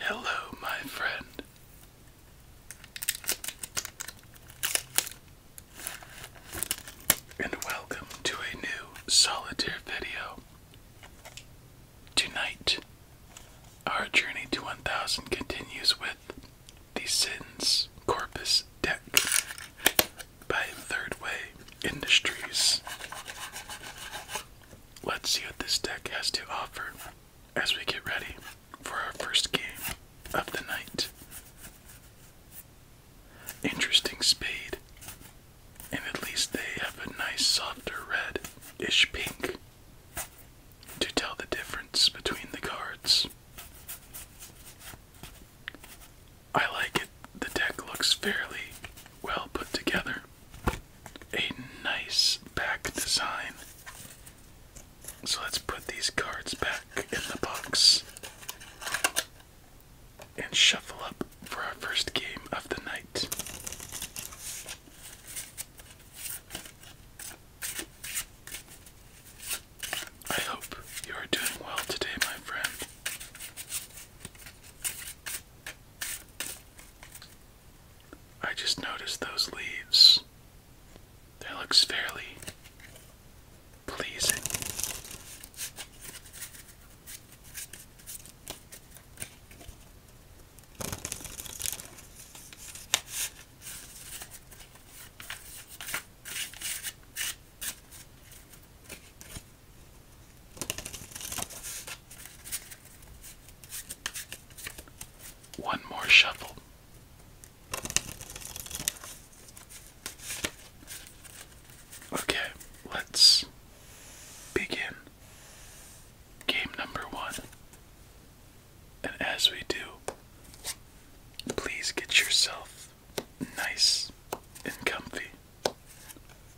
Hello, my friend. And welcome to a new solitaire video. Tonight, our journey to 1000 continues with the Sins Corpus deck by Third Way Industries. Let's see what this deck has to offer as we get ready for our first game of the night. Interesting spade, and at least they have a nice softer red ish pink to tell the difference between the cards. I like it. The deck looks fairly well put together. A nice back design. So let's put these cards back in the box and shuffle up for our first game of the night. I hope you are doing well today, my friend. I just noticed those leaves. That looks fairly pleasing. One more shuffle. Okay, let's begin game number one. And as we do, please get yourself nice and comfy.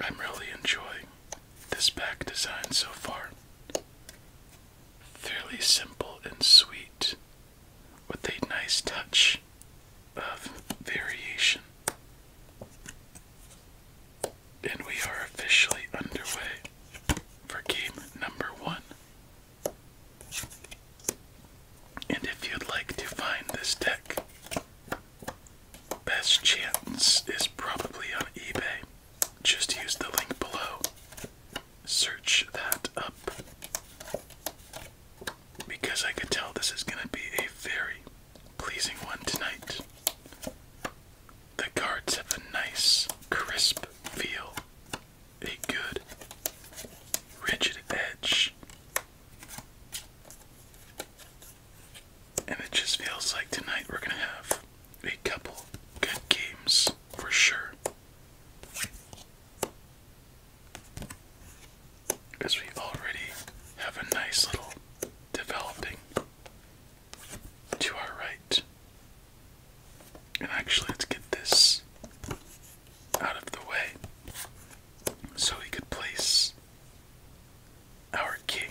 I'm really enjoying this back design so far. Fairly simple and sweet, with a nice touch of variation. And we are officially underway for game number one. And if you'd like to find this deck, Best chance is probably on eBay. Just use the link below. Search that up. Because I could tell this is going to be a very pleasing one tonight. The cards have a nice, crisp feel, a good, rigid edge. And it just feels like tonight we're gonna have a couple good games for sure. Because we already have a nice little developing to our right. And actually, let's get this out of the way so we could place our king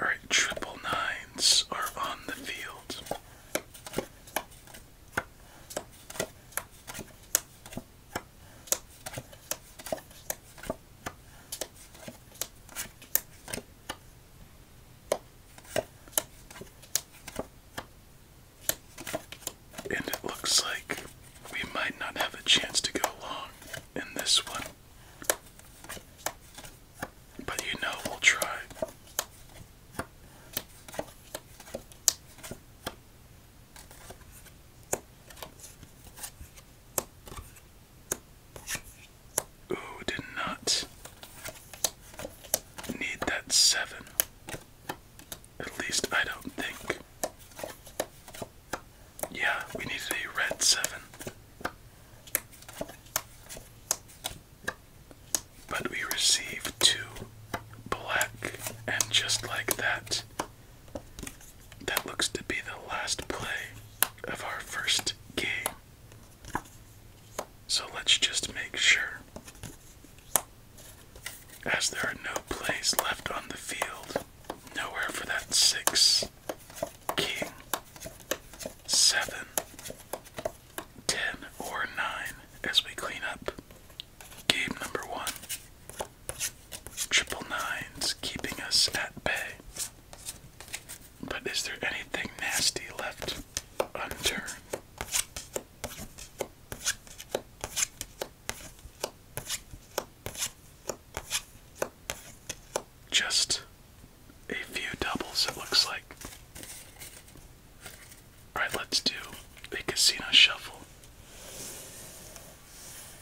All right, triple nines are on the field. And it looks like we might not have a chance to go along in this one. But you know, we'll try. Ooh, did not need that seven. At least I don't think. Yeah, we needed a red seven. But we received two black, and just like that, that looks to be the last play of our first game. So let's just make sure. As there are no plays left on the field, nowhere for that six, king, seven, ten, or nine as we clean up game number one. Triple nines keeping us at bay. But is there anything nasty left unturned? Just a few doubles, it looks like. Alright, let's do a casino shuffle.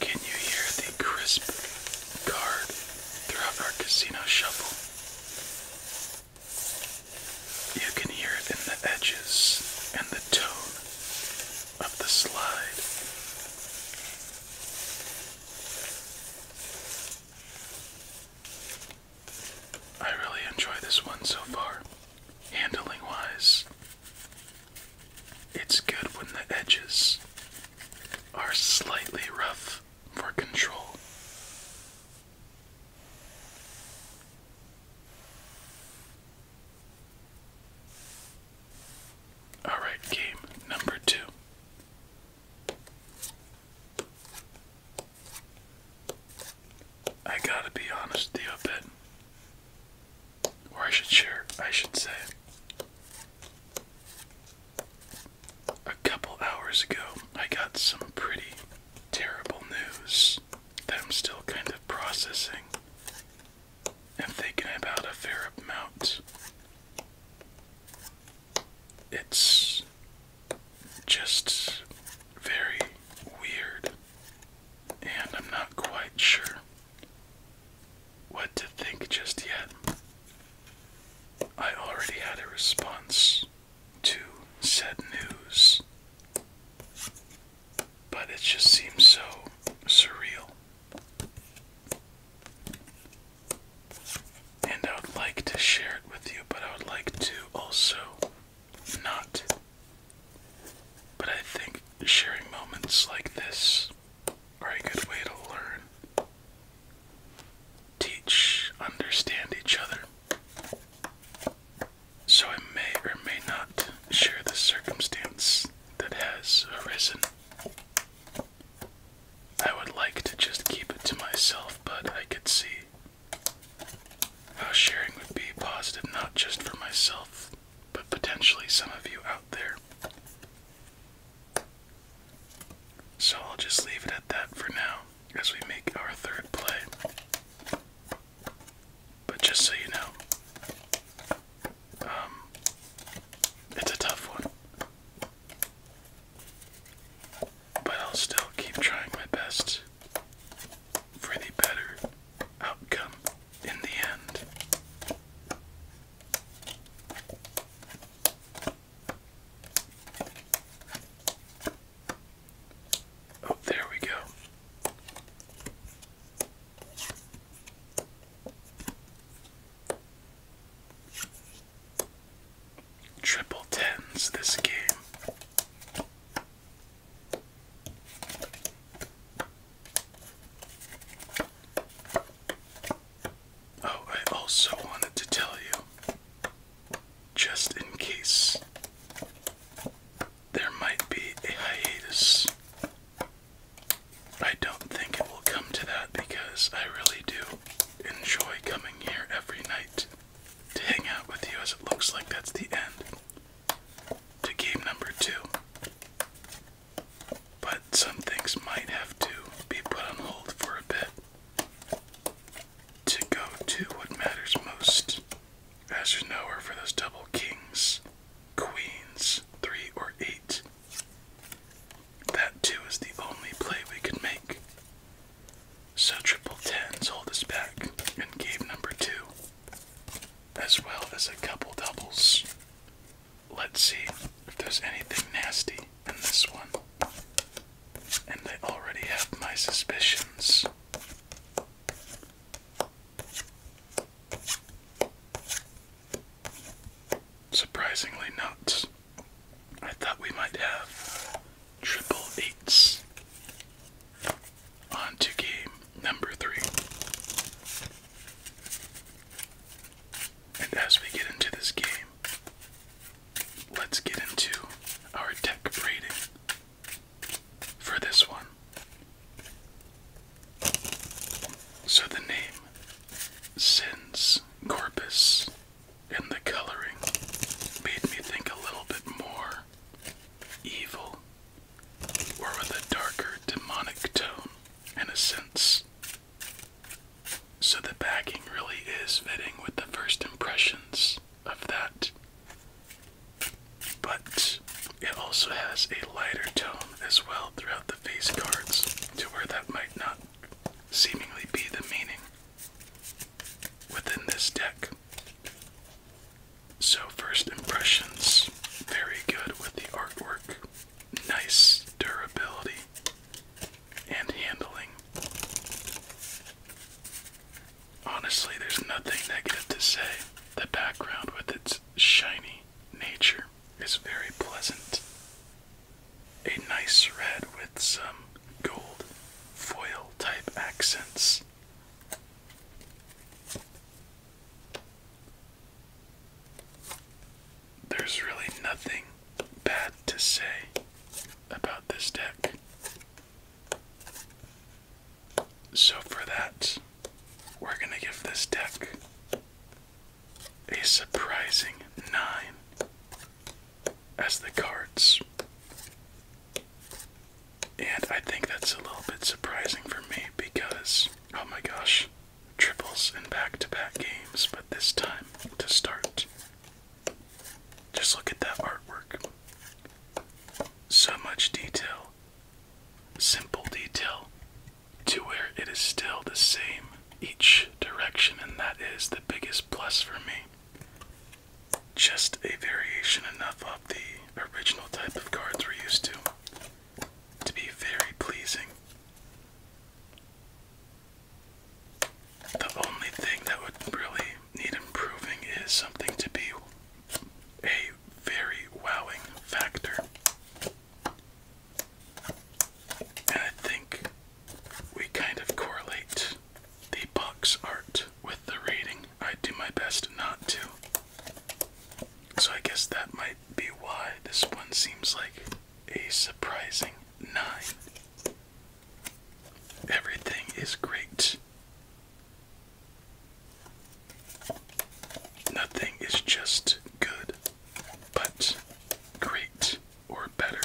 Can you hear the crisp card throughout our casino shuffle? You can hear it in the edges and the tone of the slide. I really enjoy this one so far. Handling wise, it's good when the edges are slightly rough for control. Alright, game number two. I gotta be honest a bit. Or I should share, I should say. A couple hours ago, I got some pretty terrible news that I'm still kind of processing. I'm thinking about a fair amount. It's just very weird, and I'm not quite sure what to think just yet. I already had a response to said news, but it just seems so surreal. And I would like to share it with you, but I would like to also not. But I think sharing moments like this are a good way to learn, teach, understand each other. So I may or may not share the circumstance that has arisen I would like to just keep it to myself, but I could see how sharing would be positive not just for myself, but potentially some of you out there. So I'll just leave it at that for now as we make our third play. But just so you know, um, it's a tough one. But I'll still keep trying my best for the better outcome in the end. Oh, there we go. Triple tens this game. Oh, I also wanted to tell you, just in case, there might be a hiatus I don't think it will come to that because I really do enjoy coming here every night to hang out with you, as it looks like that's the end to game number two. But some things might have to be put on hold for a bit to go to what matters most. As you know, are for those double kings, queens, three or eight. That too is the only play we could make. So triple tens hold us back and gave number two, as well as a couple doubles. Let's see if there's anything nasty in this one. And I already have my suspicions surprisingly not. I thought we might have triple eights on to game number three. And as we get into this game, let's get into our deck rating for this one. So the name Sins Corpus and the coloring made me think a little bit more evil or with a darker demonic tone in a sense. So the backing really is fitting with the first impressions of that. But it also has a lighter tone as well throughout the face cards to where that might not seemingly be the meaning within this deck. So, first impressions very good with the artwork, nice durability and handling. Honestly, there's nothing negative to say. The background with its shiny nature is very pleasant a nice red with some gold foil type accents. There's really nothing bad to say about this deck. So, for that, we're going to give this deck a surprising nine as the cards. And I think that's a little bit surprising for me because, oh my gosh, triples and back to back games, but this time to start. Just look at that artwork. So much detail, simple detail, to where it is still the same each direction, and that is the biggest plus for me. Just a variation enough of the original type of cards we're used to to be very pleasing. The only thing that would really need improving is something to be a very wowing factor. And I think we kind of correlate the box art with the reading. I do my best not to. So I guess that might be why this one seems like a surprising 9. Everything is great. Nothing is just good but great or better.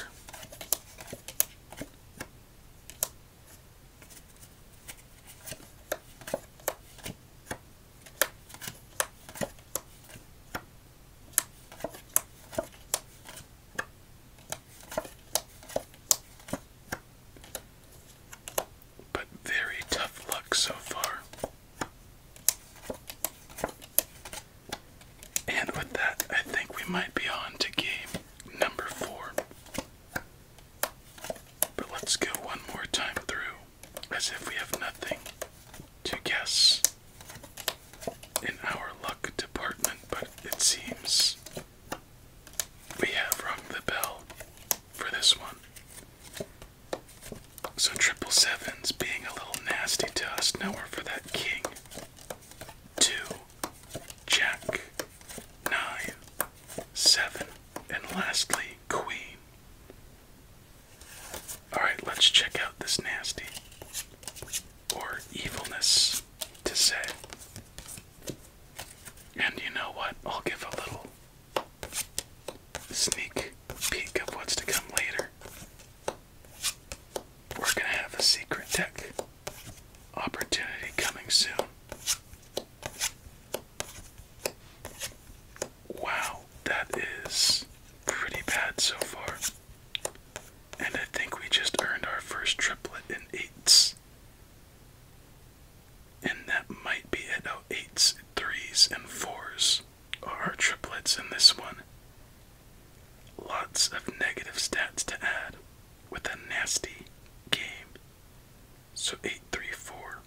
But very tough luck so far. And with that, I think we might be on to game number four. But let's go one more time through as if we have nothing to guess in our luck department, but it seems we have rung the bell for this one. So triple sevens being a little nasty to us. Nowhere for that king two, jack, nine, seven, and lastly, queen. Alright, let's check out this nasty or evilness to say. And you know what? I'll give a little sneak peek of what's to come later we're gonna have a secret deck opportunity coming soon. Wow, that is pretty bad so far. And I think we just earned our first triplet in eights. And that might be it. Oh, eights, threes, and fours are triplets in this one. Lots of negative stats to add with a nasty game. So 834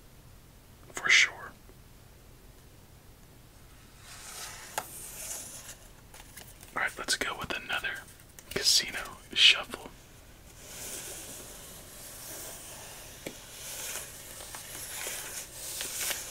for sure. Alright, let's go with another casino shuffle.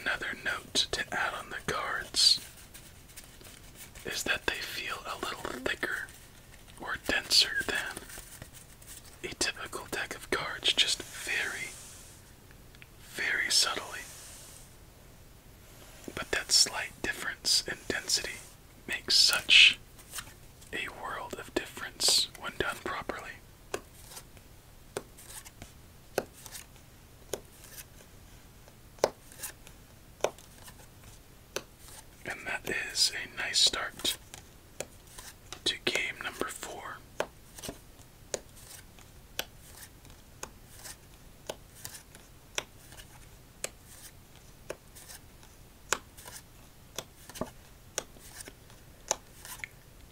Another note to add on the cards is that they feel a little thicker or denser than a typical deck of cards, just very, very subtly. But that slight difference in density makes such a world of difference when done properly. And that is a nice start to game number four.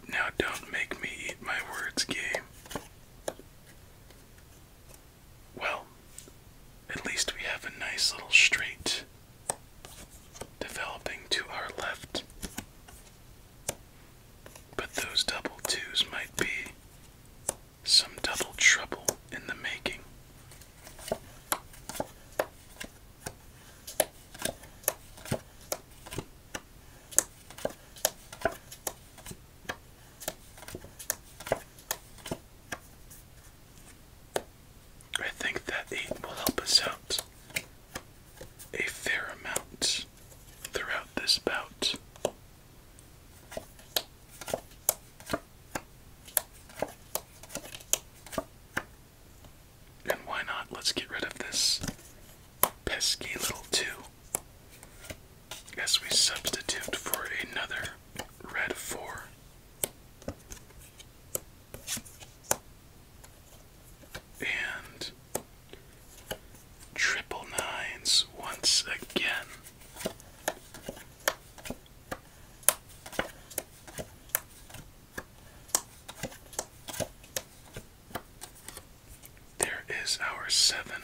Now, don't make me eat my words, game. Well, at least we have a nice little straight developing to our left. But those double twos might be some double trouble in the making. I think that eight will help us out a fair amount throughout this bout. And why not? Let's get rid of this pesky little 2 as we substitute for another red 4. And triple nines once again. There is our seven.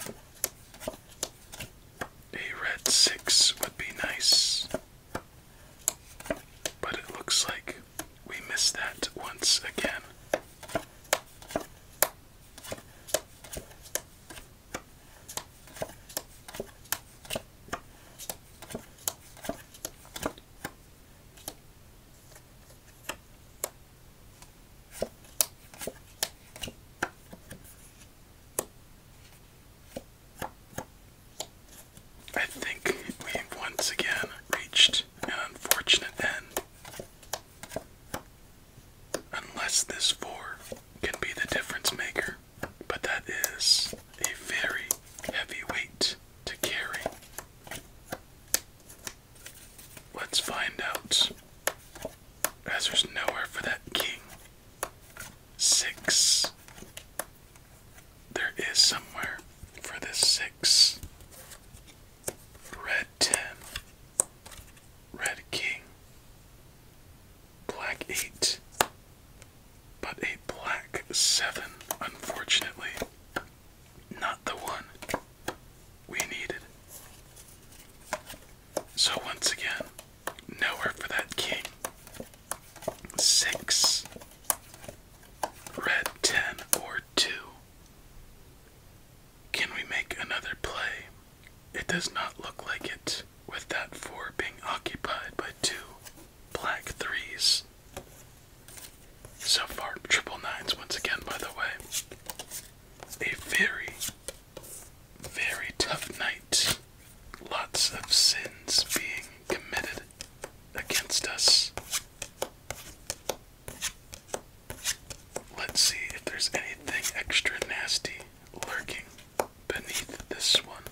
A red six would be nice. But it looks like we missed that once again. I think we've once again reached an unfortunate end. Unless this 4 can be the difference maker, but that is a very heavy weight to carry. Let's find out, as there's nowhere for that king. Six. There is somewhere for this six. Red ten. Red king. Black eight. But a black seven, unfortunately. Not the one we needed. So once again, nowhere for that king. Six. Red 10 or 2. Can we make another play? It does not look like it, with that 4 being occupied by 2 black 3s. So far, triple nines once again, by the way. A very, very tough night. Lots of sins being committed against us. Let's see if there's anything extra nasty lurking beneath this one.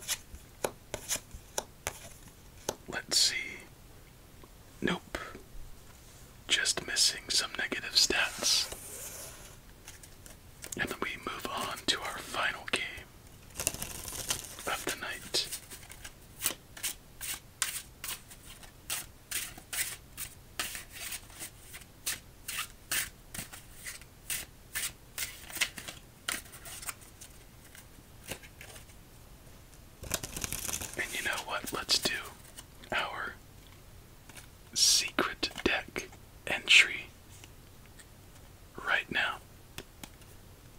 Let's see. Nope. Just missing some negative stats. And then we move on to our final game of the night. And you know what? Let's do our secret deck entry right now.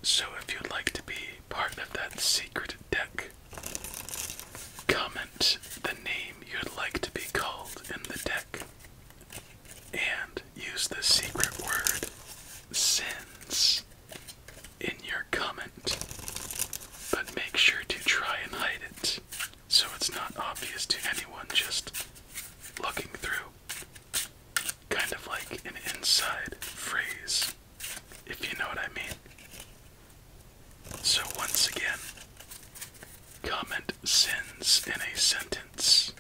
So if you'd like to be part of that secret deck, comment the name you'd like to be called in the deck and use the secret word sins in your comment. But make sure to try and hide it so it's not obvious to anyone just looking through. Kind of like an inside phrase if you know what I mean. So, once again, comment sins in a sentence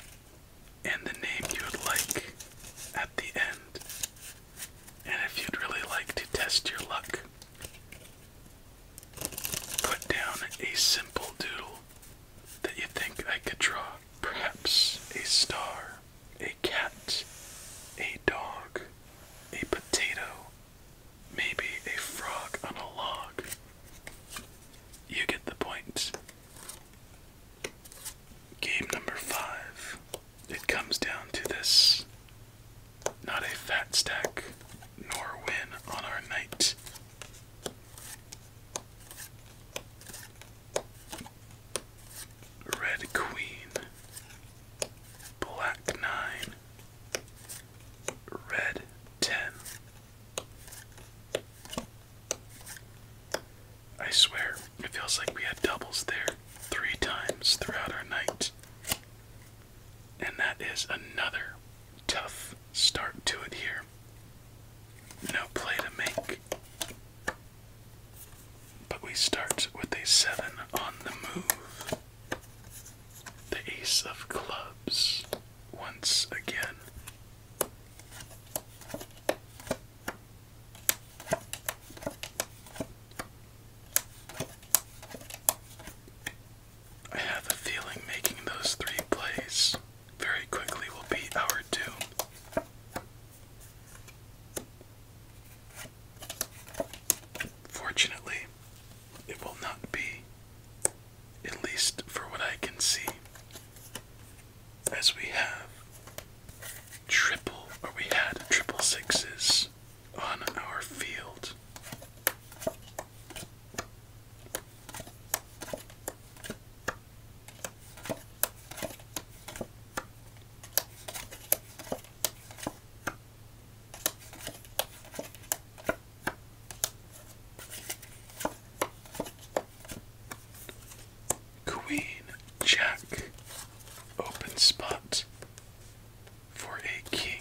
and the name you would like at the end. And if you'd really like to test your luck, put down a simple doodle that you think I could draw, perhaps a star a cat, a dog, a potato, maybe a frog on a log. You get the point. Game number five. It comes down to this. Not a fat stack, nor win on our night. Red Queen, Black Nine, Red Ten. I swear, it feels like we had doubles there three times throughout our night. And that is another tough start to it here. No play to make. But we start with a 7 on the move. The ace of clubs once again. I have a feeling making those three plays very quickly will be our doom. Fortunately, it will not be, at least for what I can see, as we have triple, or we had triple sixes on our field. Queen Jack open spot for a king.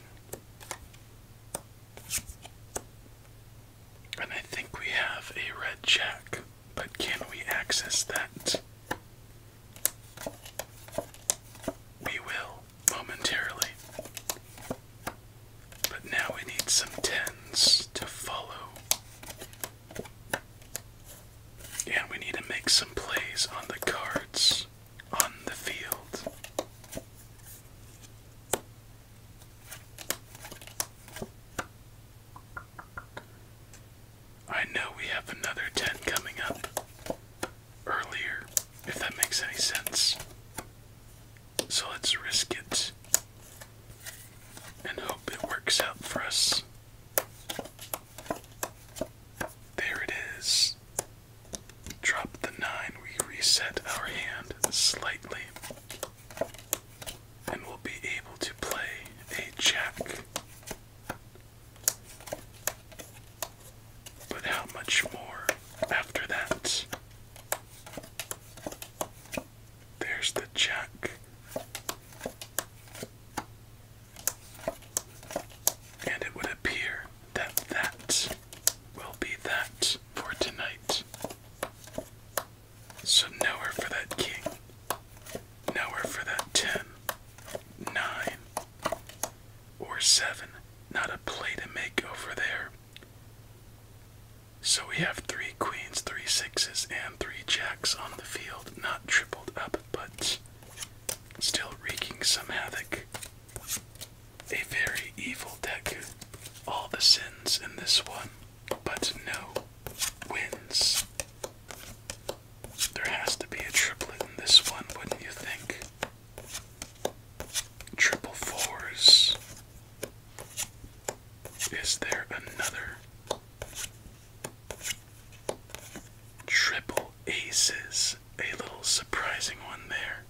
And I think we have a red jack, but can we access that? We will momentarily. But now we need some tens to follow. And we need to make some plays on the cards on the field. I know we have another 10 coming up earlier, if that makes any sense. So let's risk it and hope it works out for us. There it is. Drop the 9, we reset our hand slightly, and we'll be able to play a jack. But how much more after that? There's the jack. And it would appear that that will be that for tonight. So nowhere for that king, nowhere for that ten, nine, or seven. Not a play to make over there. So we have three queens, three sixes, and three jacks on the field. Not tripled up, but still wreaking some havoc. A very evil deck. All the sins in this one, but no wins. There has to be a triplet in this one, wouldn't you think? Triple fours. Is there another? Triple aces. A little surprising one there.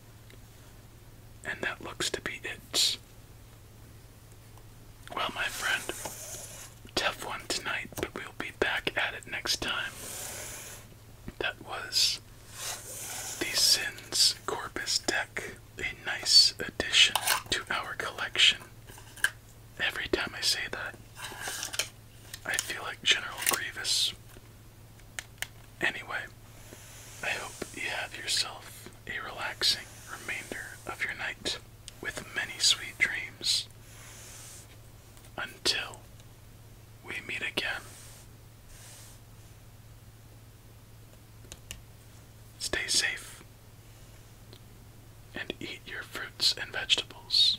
And that looks to be it. Well, my friend, tough one tonight, but we'll be back at it next time. That was the Sins Corpus deck, a nice addition to our collection. Every time I say that, I feel like General Grievous. Anyway, I hope you have yourself a relaxing remainder of your night with many sweet dreams. Until we meet again. Stay safe and eat your fruits and vegetables.